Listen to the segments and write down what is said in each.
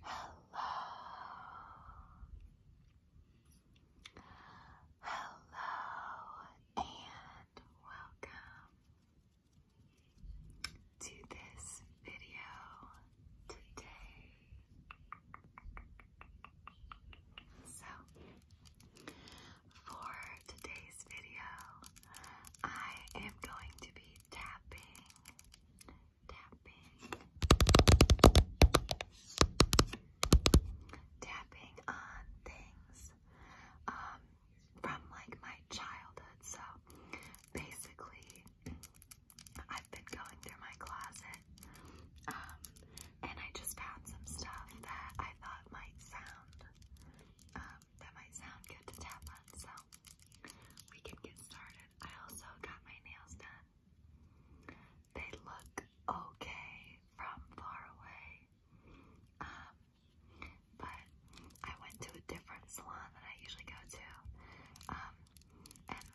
Hello. Hello and welcome to this video today. So, for today's video, I am going to be tapping tapping, tapping on things um, from like my childhood. So basically, I've been going through my closet um, and I just found some stuff that I thought might sound um, that might sound good to tap on. So we can get started. I also got my nails done. They look okay from far away. Um, but I went to a different salon than I usually go to. Um, and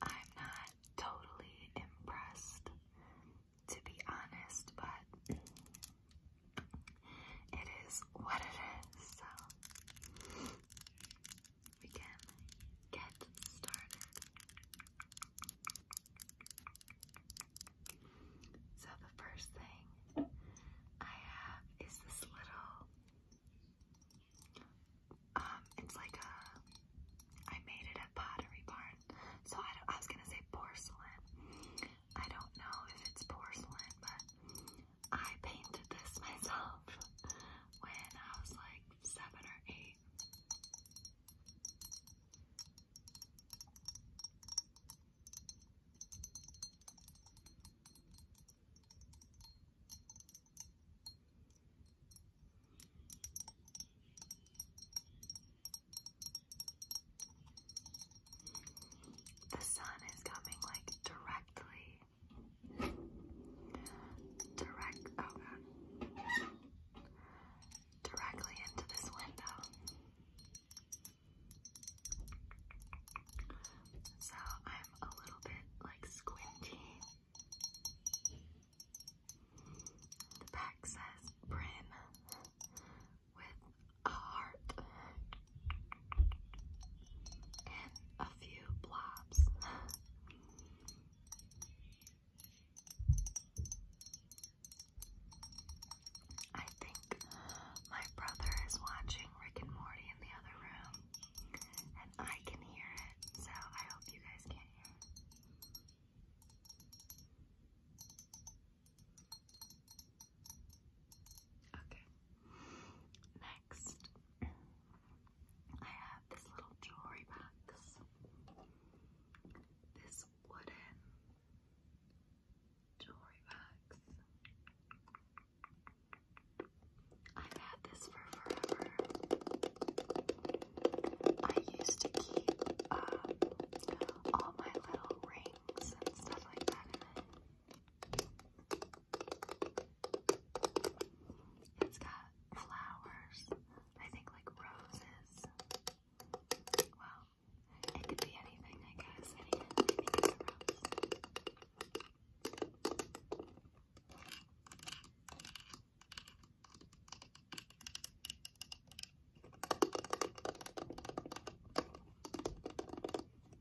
I'm not totally impressed, to be honest, but it is what it is, so we can get started. So, the first thing I have is this little. Um, it's like a. I made it at Pottery Barn. So I, don't, I was gonna say porcelain. I don't know if it's porcelain, but I painted this myself when I was like seven or eight. The sun is coming like directly Direct, oh god. Directly into this window. So I'm a little bit like squinty. The back says Bryn with a heart and a few blobs. I think my brother is watching Rick and Morty in the other room, and I can hear it, so I hope you guys can hear Okay, next I have this little jewelry box. This wooden jewelry box. I've had this for forever. I used to keep um, all my little rings and stuff like that in it. It's got flowers, I think like roses. Well, it could be anything, I guess. I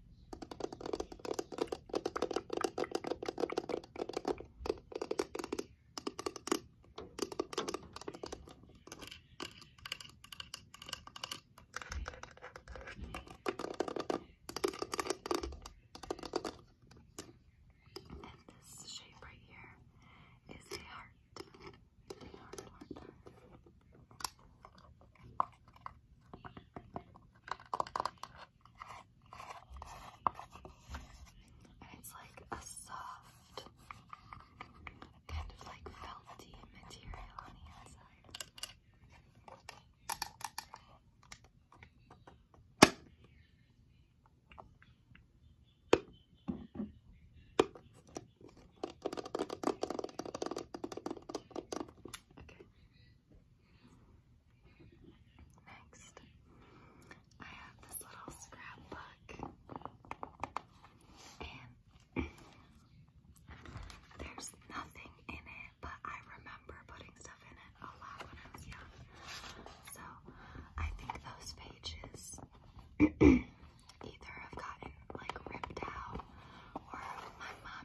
And this shape right here is a heart. A heart, heart, heart. And it's like a soft, kind of like felty material on the inside. Okay. Next, I have this little scrapbook, and there's nothing in it, but I remember putting stuff in it a lot when I was young. So I think those pages either have gotten like ripped out, or my mom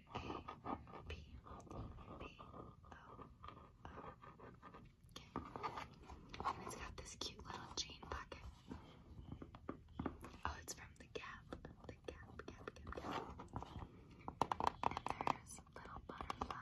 Okay. And it's got this cute little jean pocket. Oh, it's from the Gap. The Gap, Gap, Gap, Gap. And there's little butterflies.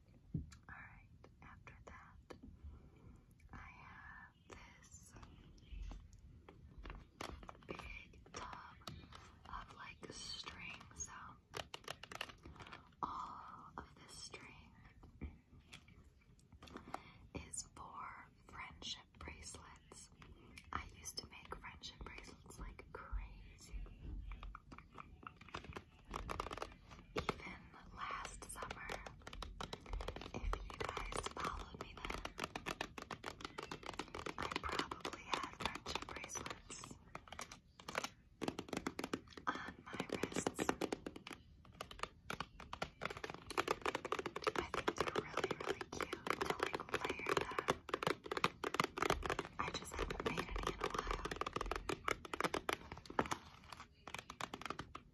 Alright, after that, I have this big tub of like string. So, all of this string is for friendship bracelets. I used to make friendship bracelets like crazy. Even last summer, if you guys followed me then, I probably had friendship bracelets on my wrists. I think they really, really cute to like layer them. I just haven't made any in a while.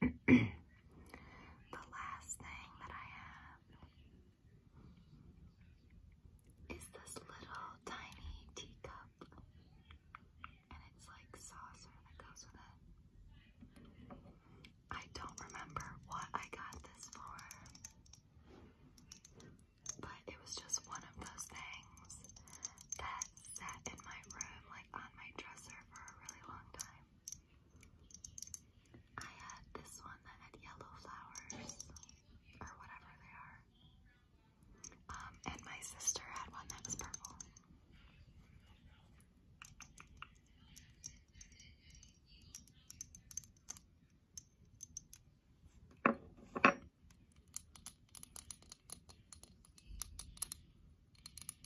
the last thing that I have is this little tiny teacup, and it's like saucer that goes with it. I don't remember what I got this for, but it was just one of those things that sat in my room, like on my dresser for a really long time. I had this one that had yellow flowers, or whatever they are. Um, and my sister had one that was purple.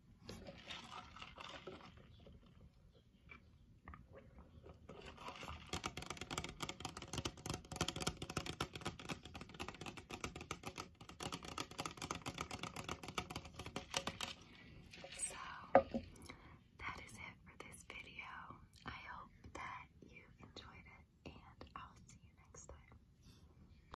So, that is it for this video. I hope that you enjoyed it, and I'll see you next time.